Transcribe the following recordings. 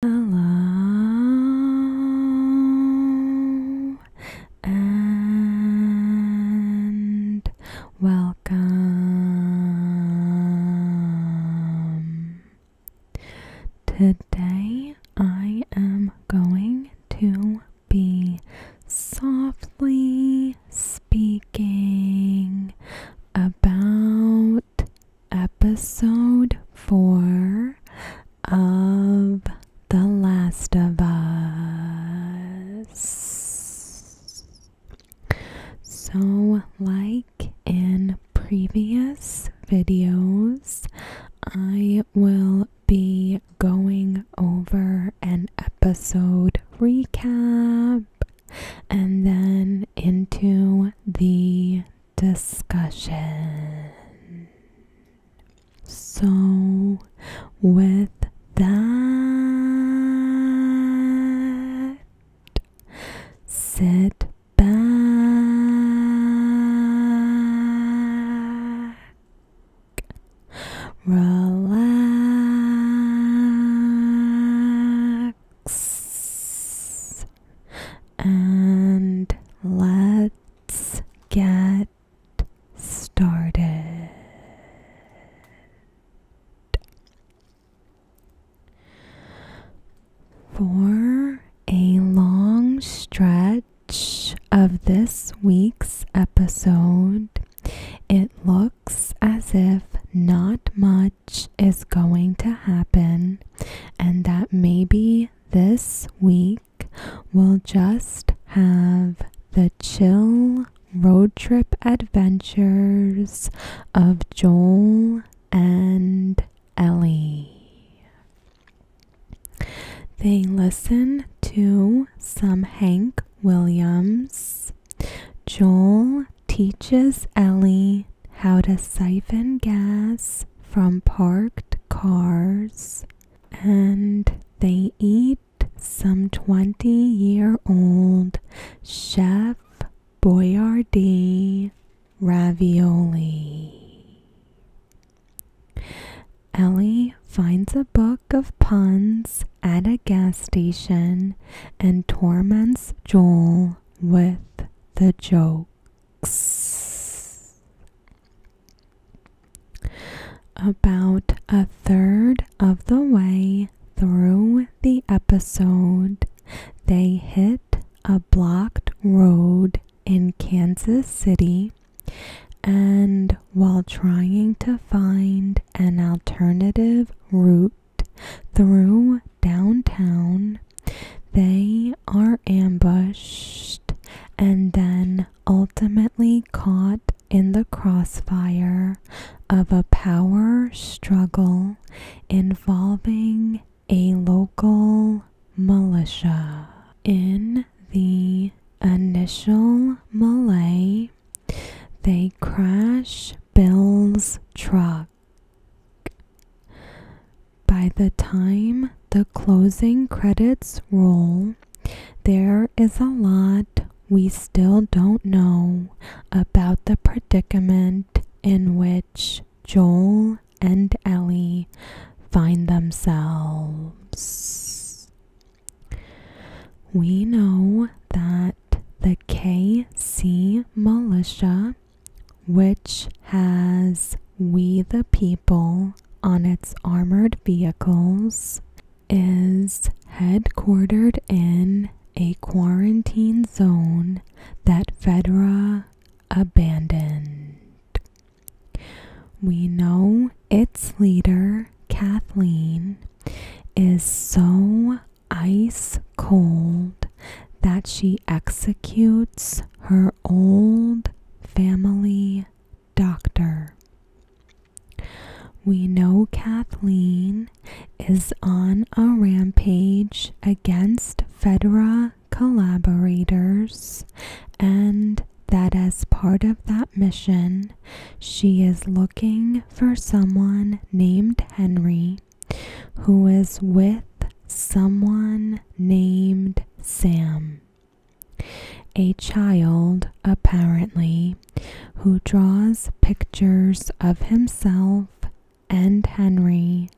Hello and welcome. Today I am going to be softly speaking about episode four of The Last of Us. So, like in previous videos, I will be going over an episode recap and then into the discussion. So, with that, sit back, relax and let's get started. For a long stretch of this week's episode, it looks as if not much is going to happen, and that maybe this week we'll just have the chill road trip adventures of Joel and Ellie. They listen to some Hank Williams Joel teaches Ellie how to siphon gas from parked cars, and they eat some 20 year old Chef Boyardee ravioli. Ellie finds a book of puns at a gas station and torments Joel with the jokes. About a third of the way through the episode, they hit a blocked road in Kansas City and while trying to find an alternative route through downtown. They are ambushed and then ultimately caught in the crossfire of a power struggle involving a local militia. In the initial melee, they crash Bill's truck. By the time the closing credits roll, there is a lot we still don't know about the predicament in which Joel and Ellie find themselves. We know that the KC militia, which has We the People on its armored vehicles, is headquartered in a quarantine zone that Fedra abandoned. We know its leader, Kathleen, is so ice cold that she executes her old family doctor. We know Kathleen is on a rampage against Fedra collaborators, and that as part of that mission, she is looking for someone named Henry who is with someone named Sam. A child, apparently, who draws pictures of himself and Henry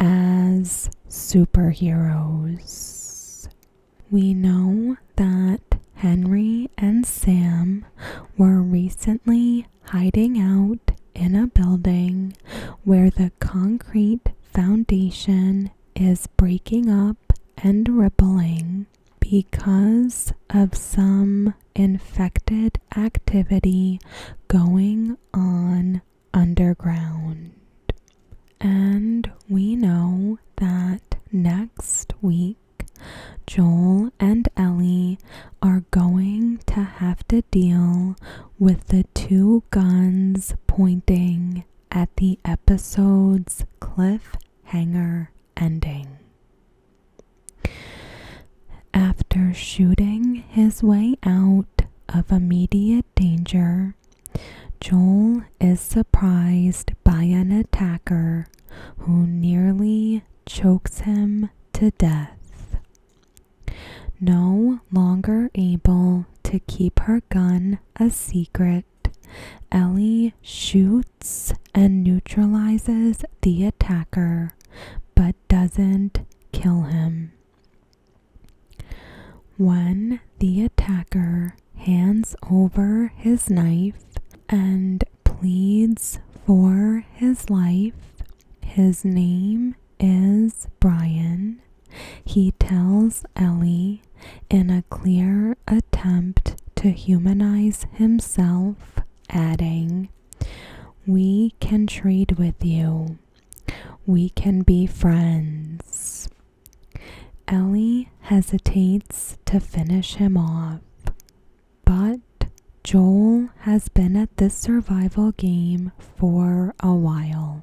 as superheroes. We know that Henry and Sam were recently hiding out in a building where the concrete foundation is breaking up and rippling because of some infected activity going on underground. And we know that next week Joel and Ellie are going to have to deal with the two guns pointing at the episode's cliffhanger ending. After shooting his way out of immediate danger, Joel is surprised by an attacker who nearly chokes him to death. No longer able to keep her gun a secret, Ellie shoots and neutralizes the attacker, but doesn't kill him. When the attacker hands over his knife, and pleads for his life. His name is Brian. He tells Ellie in a clear attempt to humanize himself, adding, We can trade with you. We can be friends. Ellie hesitates to finish him off, but Joel has been at this survival game for a while.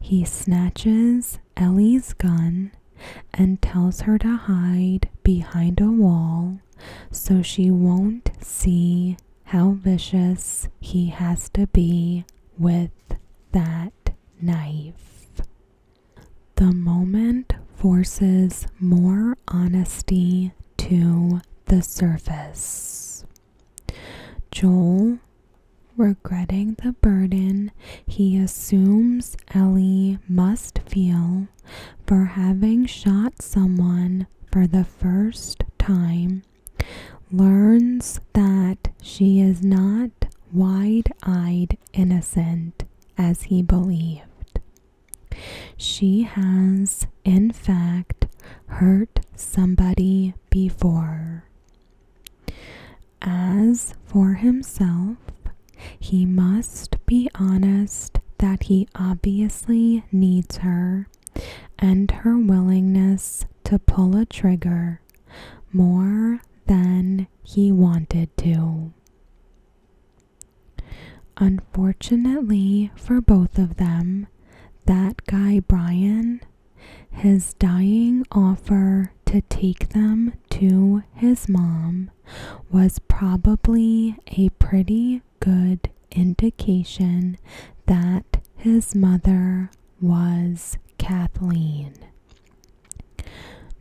He snatches Ellie's gun and tells her to hide behind a wall so she won't see how vicious he has to be with that knife. The moment forces more honesty to the surface. Joel, regretting the burden he assumes Ellie must feel for having shot someone for the first time, learns that she is not wide eyed innocent as he believed. She has, in fact, hurt somebody before. As for himself, he must be honest that he obviously needs her and her willingness to pull a trigger more than he wanted to. Unfortunately for both of them, that guy Brian, his dying offer to take them to his mom was probably a pretty good indication that his mother was Kathleen.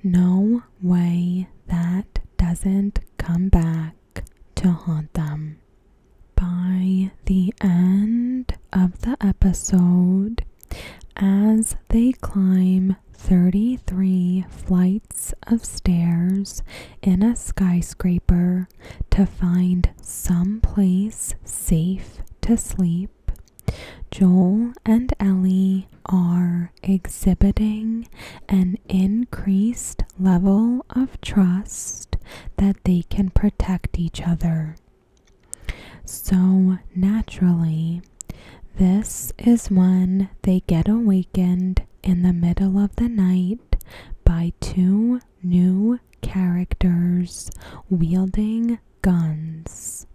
No way that doesn't come back to haunt them. By the end of the episode, as they climb 33 flights of stairs in a skyscraper to find some place safe to sleep, Joel and Ellie are exhibiting an increased level of trust that they can protect each other. So naturally, this is when they get awakened in the middle of the night by two new characters wielding guns.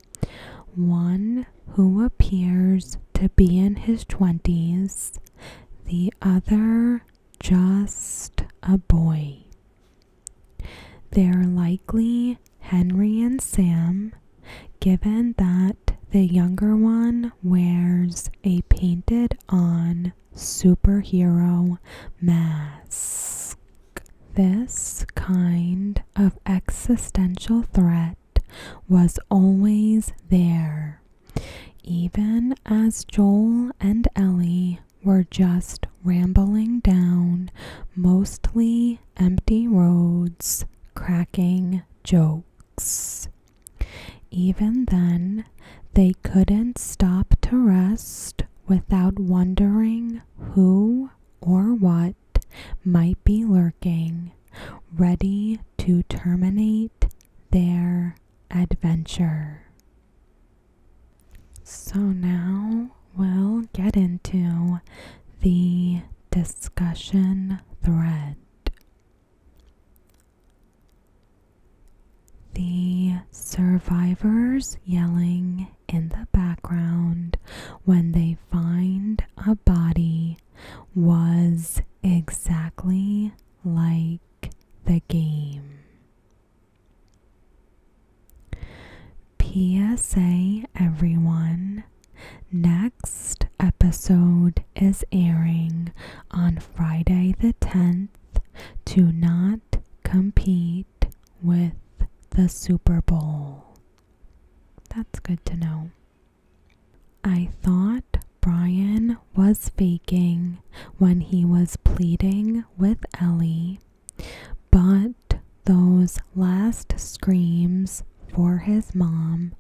One who appears to be in his 20s, the other just a boy. They're likely Henry and Sam, given that the younger one wears a painted on superhero mask. This kind of existential threat was always there, even as Joel and Ellie were just rambling down mostly empty roads, cracking jokes. Even then, they couldn't stop to rest without wondering who or what might be lurking, ready to terminate their adventure. So now we'll get into the discussion thread. The survivors yelling in the background when they find a body was exactly like the game. PSA, everyone. Next episode is airing on Friday the 10th. Do not compete with the Super Bowl. That's good to know. I thought Brian was faking when he was pleading with Ellie, but those last screams for his mom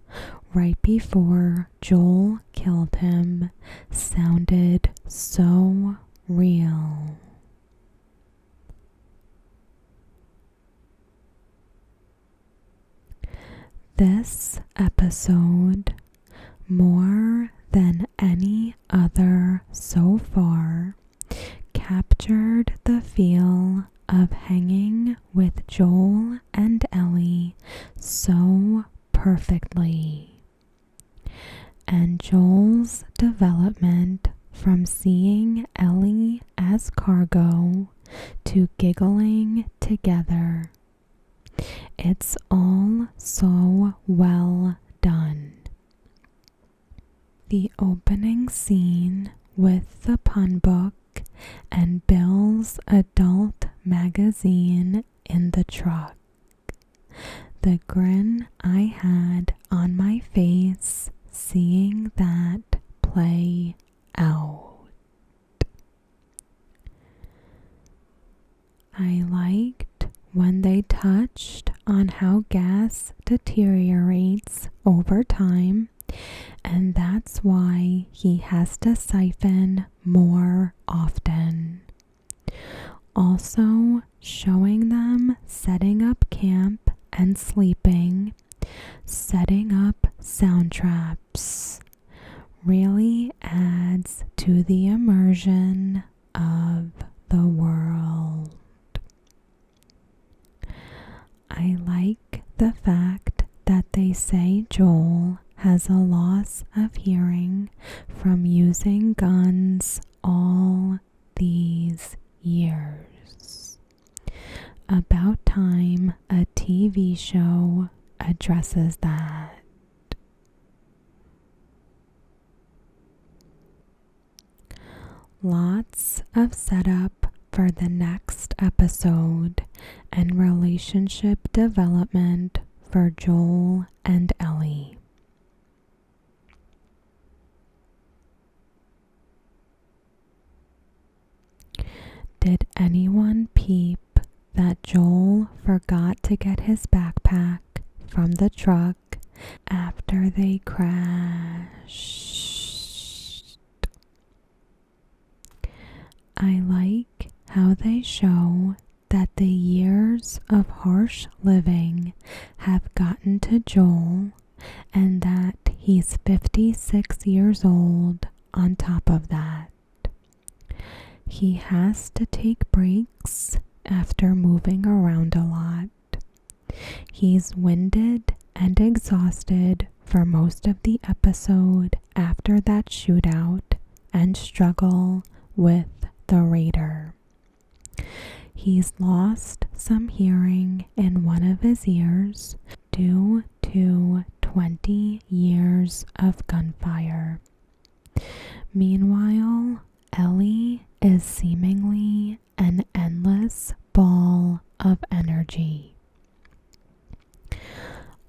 right before Joel killed him sounded so real. This episode, more than any other so far, captured the feel of hanging with Joel and Ellie so perfectly. And Joel's development from seeing Ellie as cargo to giggling together. It's all so well done. The opening scene with the pun book and Bill's adult magazine in the truck. The grin I had on my face seeing that play out. I liked when they touched on how gas deteriorates over time, and that's why he has to siphon more often. Also, showing them setting up camp and sleeping, setting up sound traps really adds to the immersion of the world. I like the fact that they say Joel has a loss of hearing from using guns all these years. About time a TV show addresses that. Lots of setup for the next episode and relationship development for Joel and Ellie. Did anyone peep that Joel forgot to get his backpack from the truck after they crashed? I like how they show that the years of harsh living have gotten to Joel and that he's 56 years old on top of that. He has to take breaks after moving around a lot. He's winded and exhausted for most of the episode after that shootout and struggle with the raider, he's lost some hearing in one of his ears due to 20 years of gunfire. Meanwhile, Ellie is seemingly an endless ball of energy.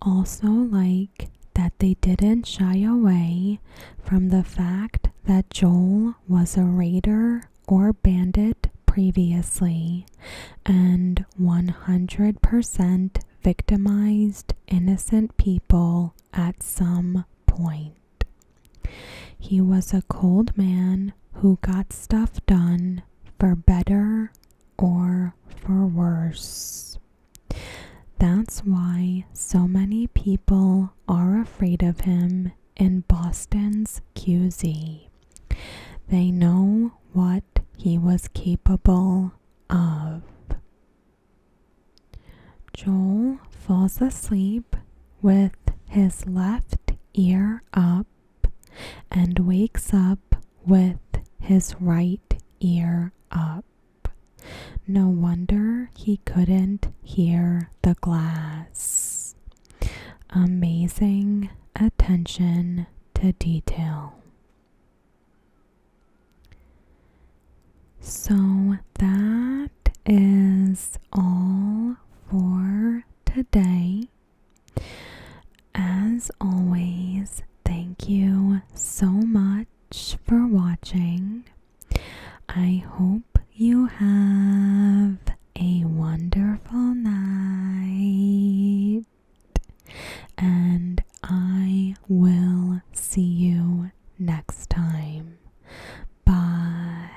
Also, like that they didn't shy away from the fact that Joel was a raider or bandit previously and 100% victimized innocent people at some point. He was a cold man who got stuff done for better or for worse. That's why so many people are afraid of him in Boston's QZ. They know what he was capable of. Joel falls asleep with his left ear up and wakes up with his right ear up. No wonder he couldn't hear the glass. Amazing attention to detail. So that is all for today. As always, thank you so much for watching. I hope you have a wonderful night, and I will see you next time. Bye.